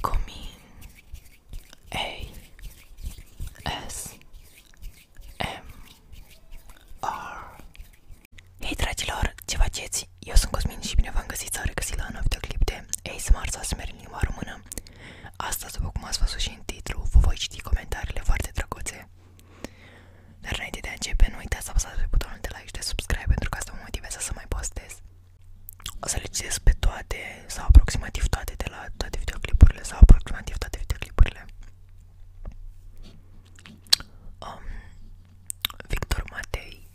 Comin A S M R Hei dragilor, ce faceți? Eu sunt Cosmin și bine v-am găsit sau regăsit la un nou videoclip de ASMR sau ASMR în limba română Astăzi, după cum ați văzut și în titlu, vă voi citi comentariile foarte drăguțe dar înainte de a începe, nu uitați să apăsați pe butonul de like și de subscribe pentru că asta mă motivează să mai postez. O să le citesc pe toate sau aproximativ toate de la toate videoclipurile sau aproximativ toate videoclipurile. Um, Victor Matei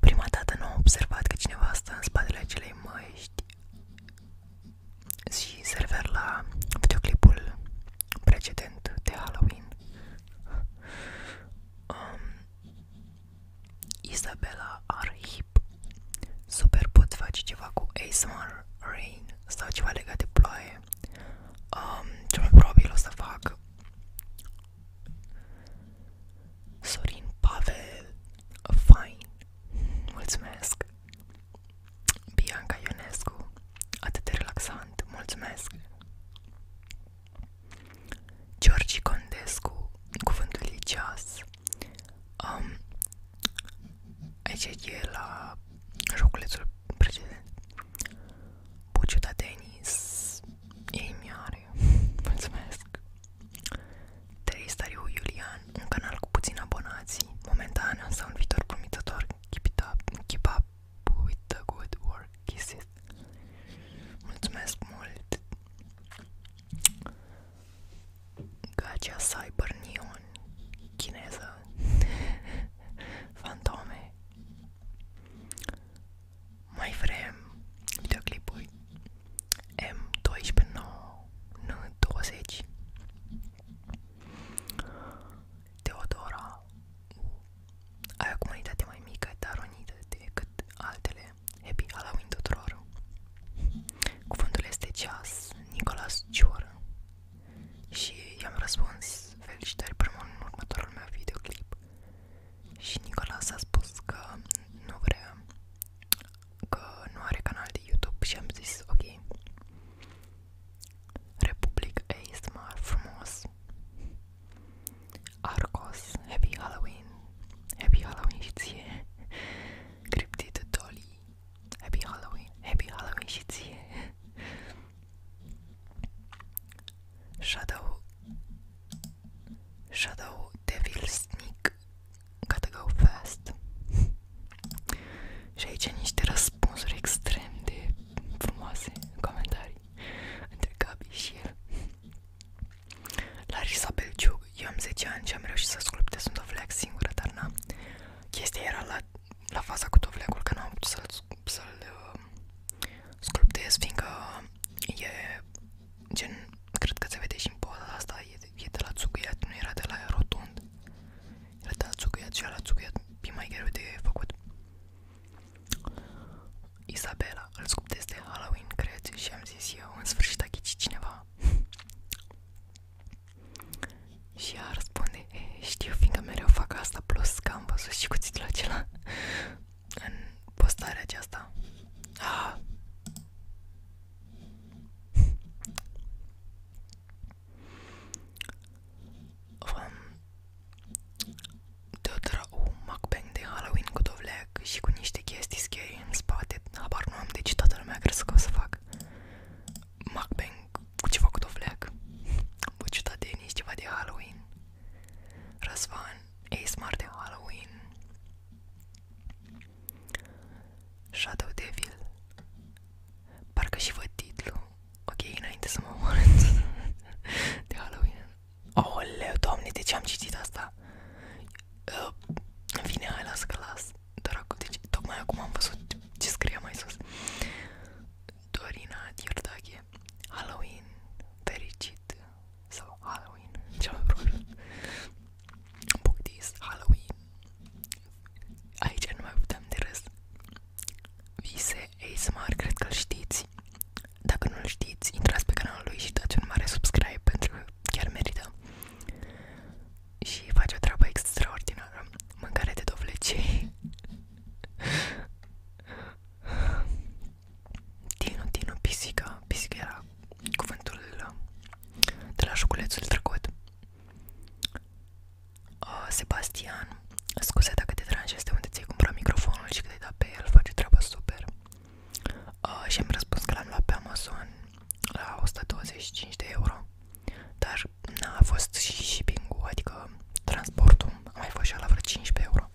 Prima dată nu am observat că cineva stă în spatele acelei măști și se refer la videoclipul precedent de Halloween um, Isabella Arhip Super pot face ceva cu ASMR Rain sau ceva legat de ploaie um, Cel mai probabil o să fac Sorin Pavel Fine Mulțumesc Bianca Ionescu Atât de relaxant Mulțumesc Georgi Condescu, cuvântul e ceas. Um, aici e la joculețul precedent. Buciuta Denis, ei mi-are, mulțumesc. Tristariu Iulian, un canal cu puțini abonații, momentan, însă un viitor promițător, keep it up, keep up with good work kisses. Mulțumesc mult! Gacha Cyber Neon Chineză Fantome Mai vrem videoclipuri M129 N20 Teodora uh, ai o comunitate mai mică, dar unită decât altele. Happy Halloween tuturor! Cuvântul este ceas, Nicolas Cior. Și i-am răspuns felicitări primul în următorul meu videoclip. Și Nicolas a spus că nu vrea, că nu are canal de YouTube și am zis ok. Republic ASMR frumos Arcos, Happy Halloween Happy Halloween și Cryptid Dolly Happy Halloween Happy Halloween și Shadow Shadow Devil Sneak Gotta go fast Și aici niște răspunsuri extrem de frumoase în comentarii mari între Gabi și el. Larisa Belciug, eu am 10 ani și am reușit să sculptez un dovleac singură, dar n-am. Chestia era la, la faza cu dovleacul, că n-am putut să-l, să-l uh, sculptez, fiindcă e gen, cred că se vede și în poza asta, e, e de la țuguiat, nu era de la rotund. Era de la țuguiat și la țuguiat e mai greu de făcut. Isabela, îl scupt este Halloween, crezi? Și am zis eu, în sfârșit a ghicit cineva Și ea răspunde, e, știu, fiindcă mereu fac asta, plus că am văzut și cuțitul acela în postarea aceasta ah. um, Dă un mukbang de Halloween cu dovleac și cu niște chestii scary în spate Habar nu am, deci toată lumea crezi că o să fac mukbang cu ceva cu dovleac Buciuta Denis, ceva de Halloween Răzvan, ASMR de Halloween Shadow Devil Parcă și văd titlu Ok, înainte să mă omorând De Halloween Aoleu, doamne, de ce am citit asta? Uh, în fine, hai, las că las. Doar acum, deci, tocmai acum am văzut ce scrie mai sus. Dorina Diordache, Halloween fericit sau Halloween, cel mai probabil. Bogdis, Halloween. Aici nu mai putem de râs. Vise, ASMR, cred că-l știți. Dacă nu-l știți, intrați pe canalul lui și dați un mare subscribe pentru că chiar merită. Și face o treabă extraordinară. Mâncare de dovlecei. Tinu, Tinu, pisica. Pisica era de la șoculețul trecut. Uh, Sebastian Scuze dacă te deranjez de unde ți-ai cumpărat microfonul și cât ai dat pe el, face treaba super uh, Și am răspuns că l-am luat pe Amazon la 125 de euro Dar na, a fost și shipping-ul, adică transportul, a mai fost și la vreo 15 euro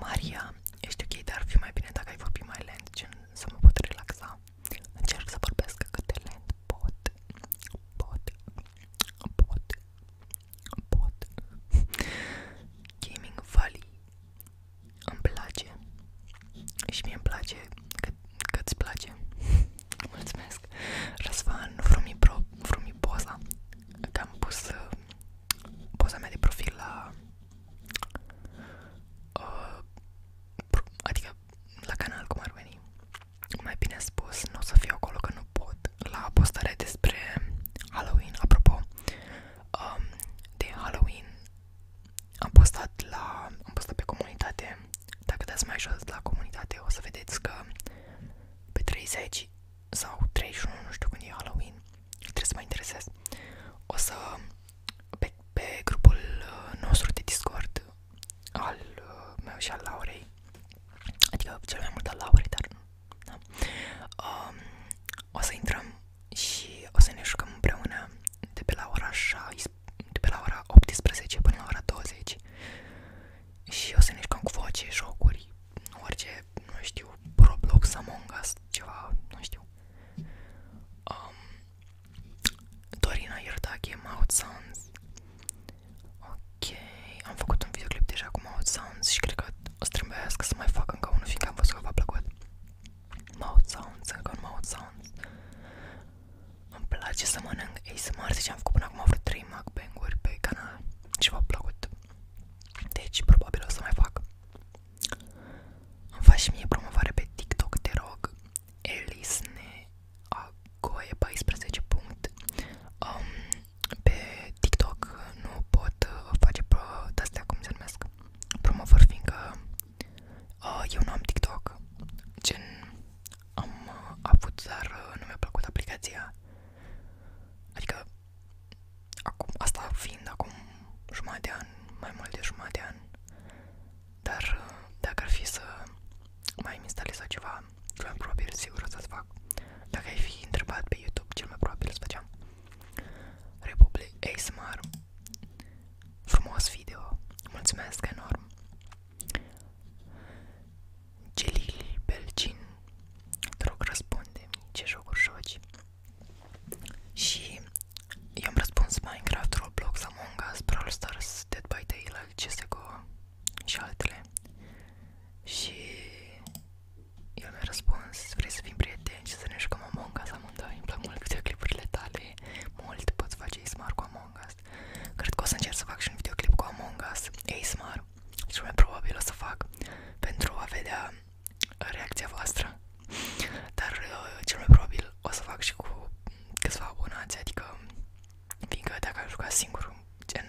Maria, ești ok, dar ar fi mai bine dacă ai vorbi mai lent, gen să mă pot relaxa Încerc să vorbesc cât de lent pot, pot, pot pot Gaming Valley îmi place și mie îmi place cât, cât îți place Mulțumesc Răzvan Frumipro, Frumipoza Că am pus uh, poza mea de profil la uh, Adică la canal cum ar veni mai bine spus, nu o să fiu acolo că la postarea despre Halloween, apropo, um, de Halloween am postat la, am postat pe comunitate, dacă dați mai jos la comunitate o să vedeți că pe 30 sau 31, nu știu când e Halloween, trebuie să mă o să, pe, pe grupul uh, nostru de Discord, al uh, meu și al Laurei, adică cel mai mult al Laurei, dar da. um, O să intrăm și o să ne jucăm împreună de pe la ora 6, de pe la ora 18 până la ora 20 Și o să ne jucăm cu voce, jocuri, orice, nu știu, Roblox, Among Us, ceva, nu știu um, Dorina, you're talking about sounds Ok, am făcut un videoclip deja cu Mouth Sounds și cred că o să trebuiască să mai fac încă unul, fiindcă am văzut că v-a plăcut Mouth Sounds, încă un Mouth Sounds Îmi place să mănânc ASMR, deci am făcut până acum vreo 3 mukbang-uri pe canal și v-a plăcut Deci probabil o să mai fac Îmi faci și mie promovare pe TikTok, te rog Elisne Agoe 14. Um, pe TikTok nu pot uh, face pro, de-astea, cum se numesc, promovări, fiindcă uh, eu nu am TikTok, gen am uh, avut, dar uh, nu mi-a plăcut aplicația, adică acum, asta fiind acum jumătate de an, mai mult de jumătate de an, dar uh, dacă ar fi să mai instalez ceva, cel mai probabil sigur o să-ți fac. Dacă ai fi întrebat pe YouTube, cel mai probabil îți făceam. Republic ASMR Frumos video, mulțumesc enorm. Gelili Belgin, te rog răspunde ce jocuri joci. Și i-am răspuns Minecraft, Roblox, Among Us, Brawl Stars, Dead by Daylight, CSGO, și altele. Și eu mi-a răspuns, vrei să fim prieteni și să ne jucăm Among Us amândoi, îmi plac mult videoclipurile tale, mult poți face ASMR cu Among Us. Cred că o să încerc să fac și un videoclip cu Among Us, ASMR, și mai probabil o să fac pentru a vedea uh, reacția voastră. Dar uh, cel mai probabil o să fac și cu câțiva abonați, adică fiindcă dacă aș juca singur, gen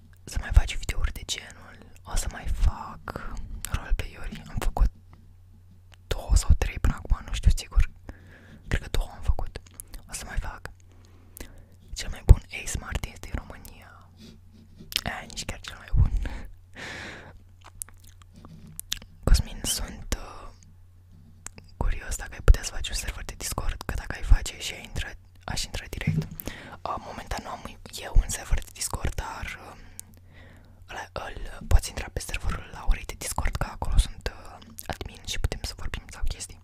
să mai faci videouri de genul, o să mai fac roleplay-uri, am făcut două sau trei până nu știu sigur, cred că două am făcut, o să mai fac. Cel mai bun Ace Martin din România, nici chiar cel mai bun. Cosmin, sunt uh, curios dacă ai putea să faci un server de Discord, că dacă ai face și ai intra aș intra direct. Uh, momentan nu am eu un server de Discord, dar uh, ăla, îl poți intra pe serverul la orei de Discord, că acolo sunt uh, admin și putem să vorbim sau chestii.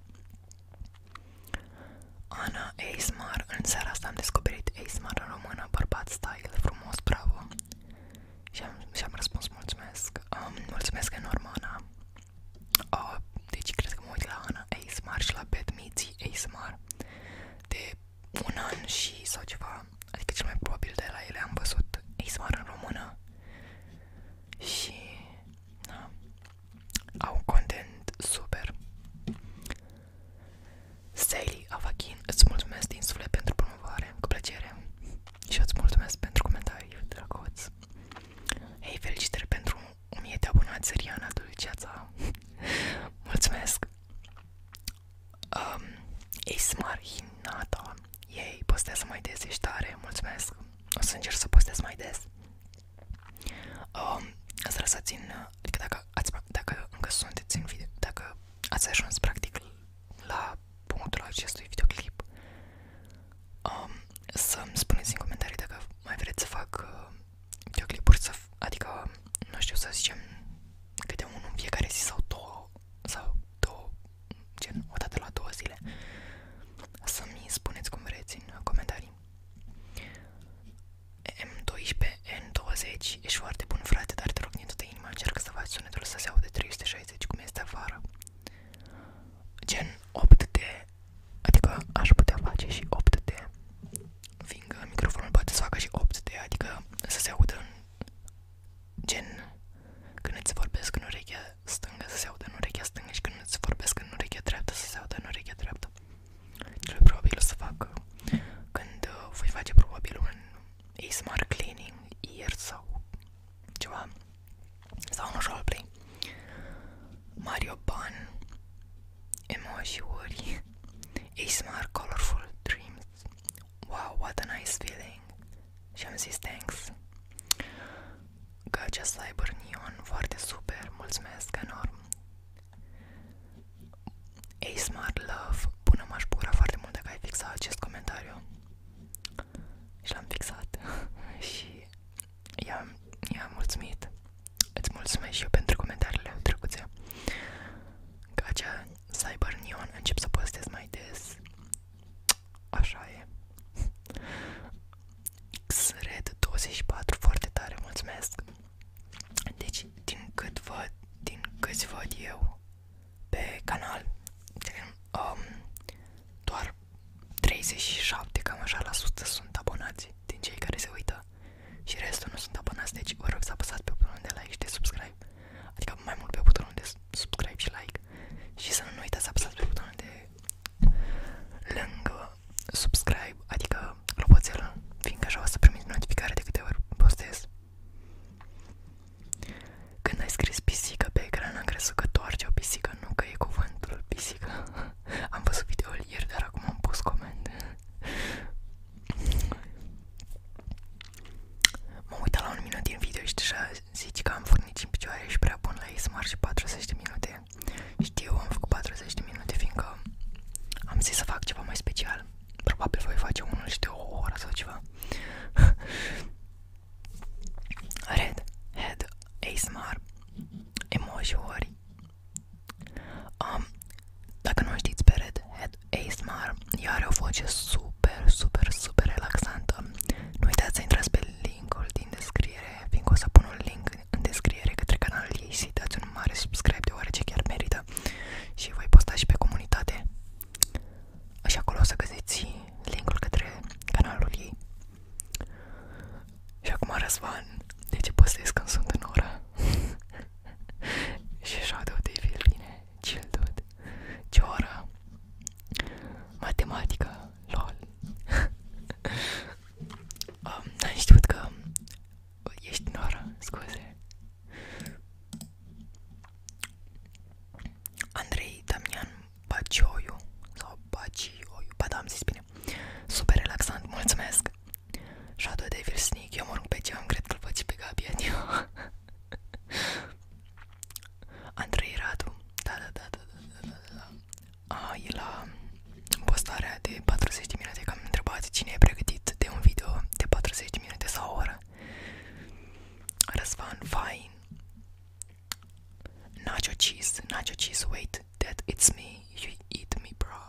Ana ASMR, în seara asta am descoperit ASMR în română, bărbat style, frumos, bravo. Și am, și am răspuns mulțumesc. Um, mulțumesc enorm, Ana. Uh, deci cred că mă uit Ana ASMR și la Bad Meets ASMR de un și sau ceva, adică cel probabil de la ele am văzut ASMR în română și au content super. Sally Avachin, îți mulțumesc din suflet pentru promovare, plăcere și îți mulțumesc pentru comentarii, drăguț. Hei, felicitări pentru 1000 de abonați, Riana Dulceața. Mulțumesc! Um, Ismar Hinata. Ei, postează mai des, ești tare, mulțumesc. O să încerc să postez mai des. Um, asta să țin, adică dacă, ați, dacă încă sunteți în video, dacă ați ajuns practic la punctul acestui videoclip, um, să-mi spuneți în comentarii dacă mai vreți să fac uh, videoclipuri să, adică, nu știu, să zicem câte unul în fiecare zi sau două, sau două, gen, o dată la două zile. Să-mi spuneți cum vreți în comentarii. M12, N20, ești foarte bun frate, dar te rog din toată inima încearcă să faci sunetul să se aude 360 cum este afară. Gen 8 de Adică aș putea face și 8D Fiindcă microfonul poate să facă și 8D Adică să se audă în gen Când îți vorbesc în urechea stângă să se audă în urechea stângă Și când îți vorbesc în urechea dreaptă să se audă în urechea dreaptă Cel probabil o să fac când uh, voi face probabil un ASMR cleaning ieri sau ceva sau un roleplay Mario Pan Emoji-uri ASMR Colorful Dreams Wow, what a nice feeling Și am zis thanks Gacha Cyber Neon Foarte super, mulțumesc enorm ASMR Love Bună m-aș bucura foarte mult dacă ai fixat acest comentariu Și l-am fixat Și i-am, i-am mulțumit. pentru comentariile drăguțe. Ca acea Cyber Neon încep să postez mai des. Așa e. Xred24, foarte tare, mulțumesc. Deci, din cât văd, din câți văd eu pe canal, um, doar 37 cam așa la sută sunt abonați din cei care se uită și restul nu sunt abonați, deci vă să apăsați pe butonul de like și de subscribe, adică mai mult pe butonul de subscribe și like și să nu uitați să apăsați pe butonul de lângă subscribe, adică clopoțelul, fiindcă așa să primiți notificare de câte ori postez. Când ai scris pisică pe ecran, am crezut că toarce o pisică, nu că e cuvântul pisică. Am văzut videoul ieri, dar acum am pus coment. M-am uitat la un minut din video și deja zici că am furnici în picioare și prea bun la ASMR și 40 de minute. Știu, am făcut 40 de minute, fiindcă am zis să fac ceva mai special. Probabil voi face unul și de o oră sau ceva. Red, head, ASMR, emoji-uri, Um, dacă nu știți pe Redhead ASMR, ea are o voce super, super, super relaxantă. Nu uitați să intrați pe linkul din descriere, fiindcă o să pun un link în descriere către canalul ei și dați un mare subscribe deoarece chiar merită. Și voi posta și pe comunitate. Așa acolo o să găsiți linkul către canalul ei. Și acum Răzvan, de ce postez când sunt în oră? și Shadow Devil vine, chill dude. Ce oră? Matematică, lol. um, n-am știut că ești în oră, scuze. Andrei Damian Bacioiu sau Bacioiu, ba da, am zis bine. Super relaxant, mulțumesc. Shadow Devil Sneak, eu mă rog pe geam, cred că-l văd pe Gabi Anio Andrei Radu, da, da, da, da, da, da, da, da A, e la postarea de 40 minute, că am întrebat cine e pregătit de un video de 40 minute sau o oră Răzvan Fain Nacho Cheese, Nacho Cheese, wait eat that it's me, you eat me, bro.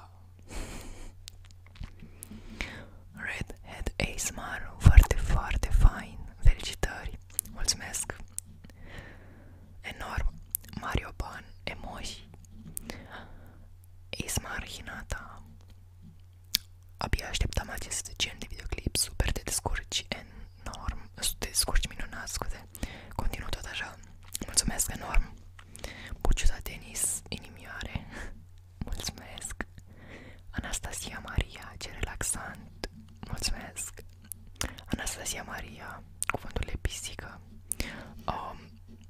Redhead ASMR, foarte, foarte fain. Felicitări. Mulțumesc. Enorm. Mario Ban, emoji. ASMR Hinata. Abia așteptam acest gen de videoclip, super te descurci enorm, te descurci minunat, scuze minute Continuă tot așa Mulțumesc enorm Buciuza Denis, inimioare Mulțumesc Anastasia Maria, ce relaxant Mulțumesc Anastasia Maria, cuvânturile pisică um,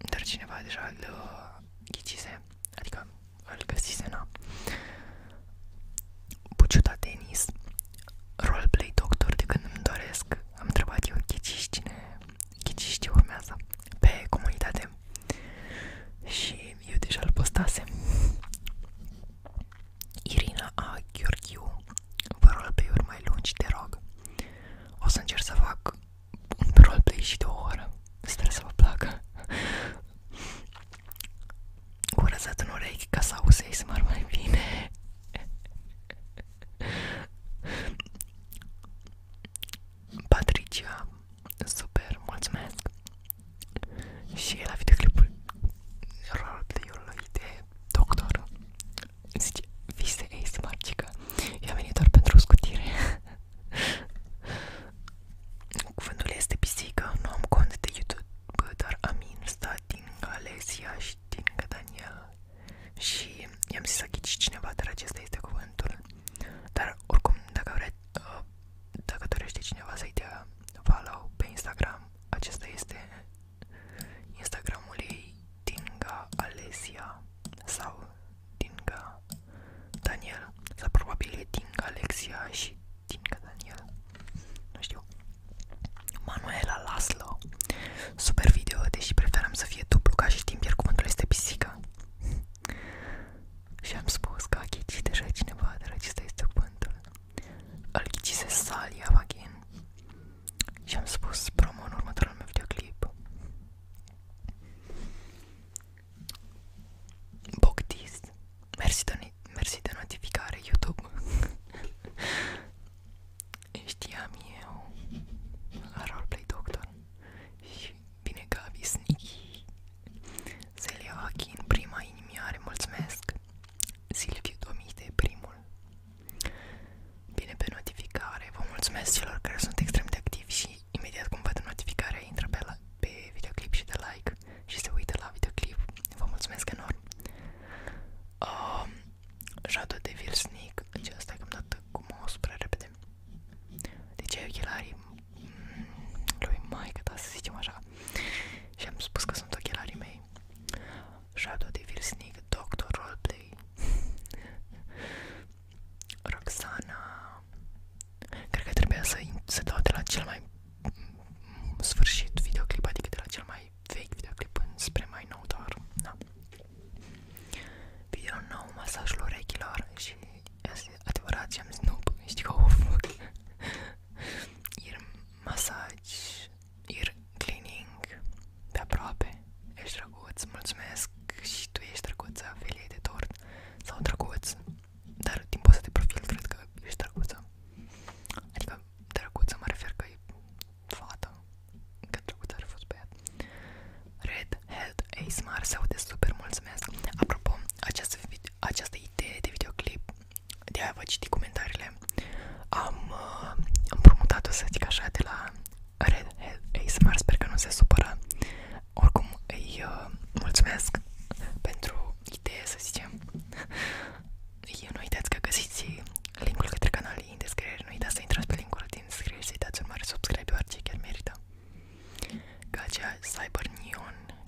Dar cineva deja îl uh, ghicise Adică îl găsise, na Buciuta Denis Roleplay doctor de când îmi doresc Am întrebat eu ghiciși cine ghiciștii urmează pe comunitate și eu deja îl postasem. Irina A. Gheorghiu, vă roleplay-uri mai lungi, te rog. O să încerc să fac un roleplay și de o oră. Sper să vă placă. Curățat în urechi ca să auzi ASMR mai bine. Patricia, super, mulțumesc! Și la videoclipul Rod lui de doctor zice, vise ASMR, cică, eu am venit doar pentru o scutire. Cuvântul este pisică, nu am cont de YouTube, dar Amin sta din Alexia și din Daniela și i-am zis să ghici cineva, dar acesta este cuvântul. Dar oricum, dacă vreți, uh, dacă dorește cineva să-i dea follow pe Instagram, acesta este Instagramul ei Dinga Alesia sau Dinga Daniel sau probabil e Dinga Alexia și Dinga Daniel, nu știu. Manuela Laslo Super video, deși preferam să fie dublu ca și timp, iar cuvântul este pisica. și am spus că a ghicit deja cineva, dar acesta este cuvântul. Îl ghicise Sally Avaghin. Și am spus promo în următorul meu videoclip. Bogdist. Mersi de, mersi de notificare YouTube. Știam eu la Roleplay Doctor și bine că a visnichi Zelia Joachim, prima inimioare, mulțumesc Silviu Domite, primul Bine pe notificare, vă mulțumesc celor care sunt extrem de activi și imediat cum văd notificarea intră pe, la, pe videoclip și de like și se uită la videoclip, vă mulțumesc enorm um, Shadow Devil Sneak, deci asta că am dat cu mouse prea repede. Deci ai ochelarii mm, lui Mike, da să zicem așa. Și am spus că sunt ochelarii mei. Shadow Devil Sneak, Doctor Roleplay, Roxana. Cred că trebuia să, să dau de la cel mai mm, sfârșit videoclip, adică de la cel mai vechi videoclip spre mai nou, dar da. Video nou, masajul urechilor și este adevărat ce am Snoop, știi că of. Ear masaj, ear cleaning, pe aproape, ești drăguț, mulțumesc și tu ești drăguță, felie de tort sau drăguț, dar din poza de profil cred că ești drăguță. Adică drăguță mă refer că fată, cât drăguț ar fi fost băiat. Red Head ASMR se aude super, mulțumesc. Apropo, această, această idee de videoclip, de aia vă citi comentariile, am uh, împrumutat-o să zic așa de la Red Head ASMR, sper că nu se supără. Oricum îi uh, mulțumesc pentru idee, să zicem. Eu nu uitați că găsiți linkul către canal în descriere, nu uitați să intrați linkul din descriere să-i un mare subscribe, orice merită. Ca acea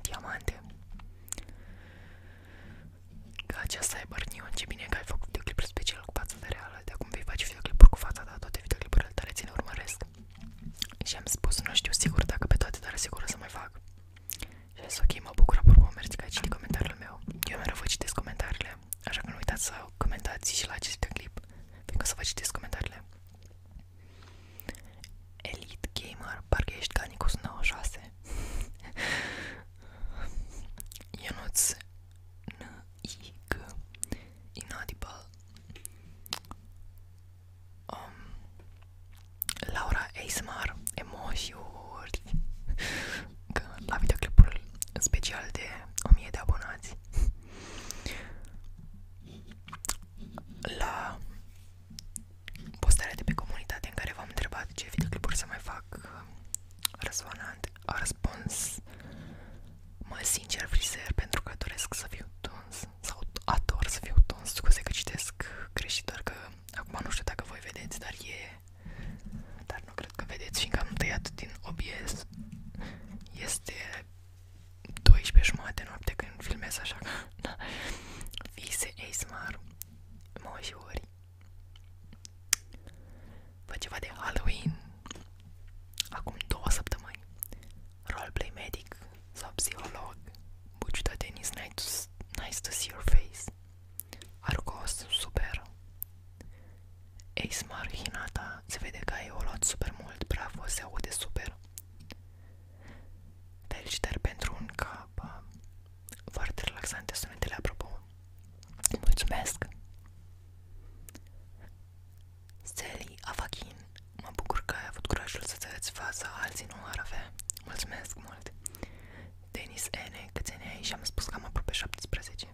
Diamante. Ca acea ce bine că ai făcut videoclipul special cu fața de reală, acum vei face videoclipuri cu fața ta, toate videoclipurile tale ți le urmăresc. Și am spus, nu știu sigur dacă pe toate, dar sigur să mai fac. Și ok, mă bucur, apropo, mergi că ai citit comentariul meu. Eu mereu vă citesc comentariile. Așa că nu uitați să comentați și la acest clip, pentru că o să vă citesc comentariile. Elite Gamer, parcă ești ca Nicos96. Ionuț N-I-G Inaudible um, Laura ASMR Emojiuri Că la videoclipul special de 1000 de abonați la postarea de pe comunitate în care v-am întrebat ce videoclipuri să mai fac Răzvanant a răspuns Mă sincer frizer pentru că doresc să fiu tuns Sau ador să fiu tuns, scuze că citesc greșit Doar că acum nu știu dacă voi vedeți, dar e Dar nu cred că vedeți, fiindcă am tăiat din OBS Este 12 jumate noapte când filmez așa da. Vise ASMR Moșiori Vă ceva de Halloween Acum două săptămâni Roleplay medic sau psiholog Buciuda Denis, nice to, nice to see your face Argos, super Eismar Hinata, se vede că ai o super mult, bravo, se aude super Felicitări pentru un cap Foarte relaxante sunetele, apropo Mulțumesc Sally Avachin Mă bucur că ai avut curajul să-ți arăți fața Alții nu ar avea Mulțumesc mult Denis N, câți ani ai? Și am spus că am aproape 17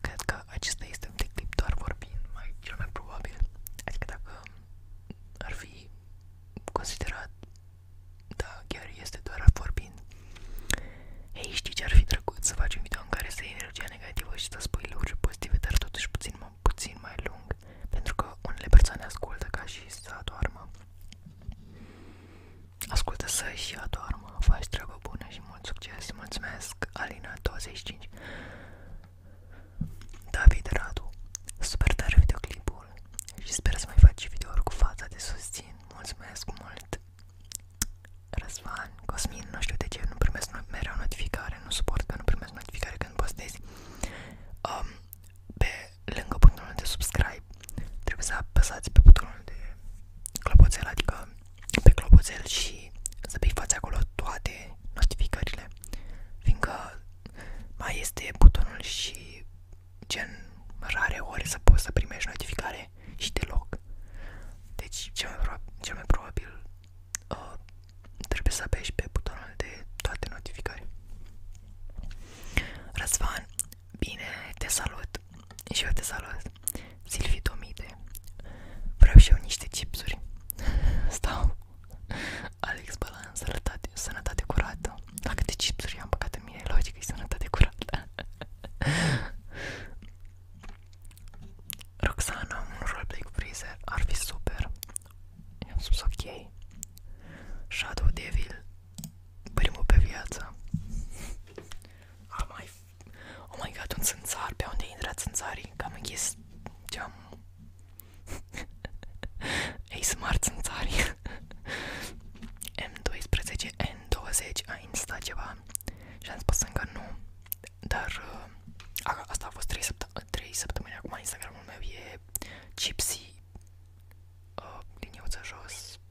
cred că acesta este un clip doar vorbind, mai cel mai probabil. Adică dacă ar fi considerat, da, chiar este doar vorbind. Ei, știi ce ar fi drăguț să faci un video în care să iei energia negativă și să spui lucruri pozitive, dar totuși puțin, mai, puțin mai lung, pentru că unele persoane ascultă ca și să adoarmă. Ascultă să-și adormă, faci treabă bună și mult succes. Mulțumesc, Alina25. David Radu, super tare videoclipul și sper să mai faci videouri cu fața de susțin. Mulțumesc mult! Răzvan, Cosmin, nu știu de ce nu primesc mereu notificare, nu suport că nu primesc notificare când postezi. Um, pe lângă butonul de subscribe trebuie să apăsați pe butonul de clopoțel, adică pe clopoțel și să bifați acolo toate notificările fiindcă mai este butonul și gen rare ori să poți să primești notificare și deloc deci cel mai, probabil uh, trebuie să apeși pe butonul de toate notificări Răzvan, bine, te salut și eu te salut Silvi Domide Vreau și eu niște chipsuri Stau Alex Balan, sănătate, sănătate curată Dacă de chipsuri am păcat în mine, logic e sănătate curată Roxana, un roleplay cu freezer ar fi super I-am spus ok Shadow Devil Primul pe viață Am mai Oh my god, sunt țânțar, pe unde intră țânțarii? Că am închis geam Ei, smart țânțarii M12, N20 a insta ceva și am spus încă nu Dar uh, a, asta a fost 3, săptămâni 3 săptămâni acum Instagramul meu e Gypsy uh, Liniuță jos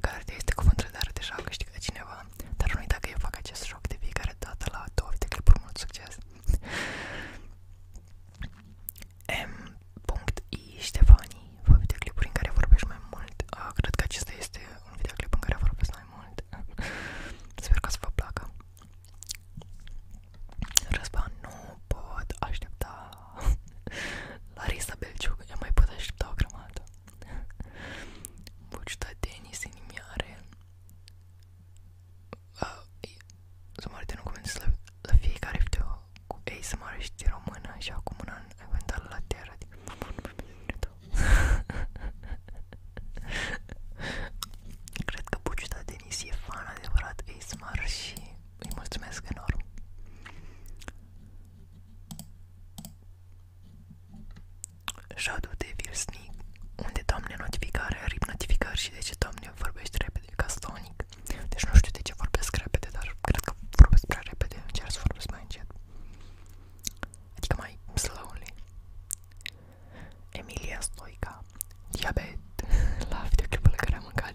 Cartea este cuvântul de art deja a câștigat cineva, dar nu uita că eu fac acest joc de fiecare dată la două de clipuri, mult succes! M.I. Ștefanii, fă videoclipuri în care vorbești mai mult, uh, cred că acesta este un videoclip în care vorbesc mai mult, sper că să vă placă. Răzvan, nu pot aștepta Larisa Belciuc, am mai pot aștepta o grămadă. Bucita Denis Inimioare. Uh, să mă arăt în comenzi la, la fiecare video cu ei să mă arăști română și acum un an ai venit la teră, adică mă pun pe Cred că Bucita Denis e fan adevărat ASMR și îi mulțumesc enorm. Shadow Devil Sneak unde doamne notificare, rip notificări și de ce doamne vorbești repede ca Sonic deci nu știu de ce vorbesc repede, dar cred că vorbesc prea repede, încerc să vorbesc mai încet adică mai slowly Emilia Stoica diabet la videoclipul la care am mâncat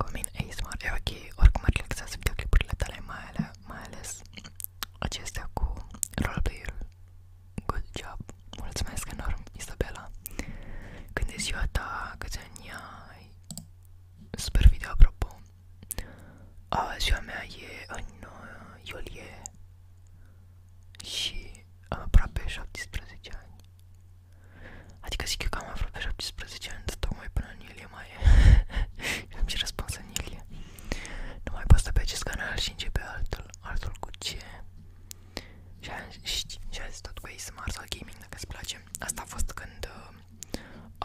Cu mine ASMR e ok, oricum ar relaxează videoclipurile tale, mai, ale, mai ales acestea cu roleplay-ul. Good job! Mulțumesc enorm, Isabela! Când e ziua ta, câți ani ai? Super video, apropo! A, ziua mea e în uh, iulie și aproape 17 ani Adică zic eu că am aflat pe 17 ani, dar tocmai până în iulie mai e. și am și răspuns în iulie. Nu mai postă pe acest canal și începe altul, altul cu ce? Și a, și, și a zis tot cu ASMR sau gaming, dacă îți place. Asta a fost când uh,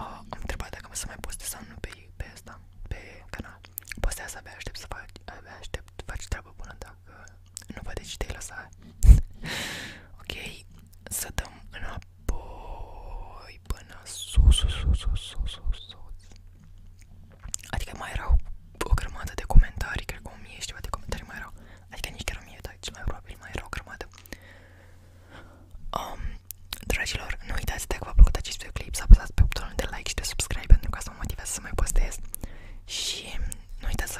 uh, am întrebat dacă mă să mai postez sau nu pe, pe asta, pe canal. Postează, abia aștept să fac, abia aștept, faci treabă bună dacă nu vă deci te lăsa. ok, să dăm înapoi până sus, sus, sus, sus, sus, sus, sus. Adică mai erau o grămadă de comentarii, cred că o mie și ceva de comentarii mai erau. Adică nici chiar o mie, dar cel mai probabil mai erau o grămadă. Um, dragilor, nu uitați dacă v-a plăcut acest videoclip să apăsați pe butonul de like și de subscribe pentru ca să mă motivează să mai postez. Și nu uitați să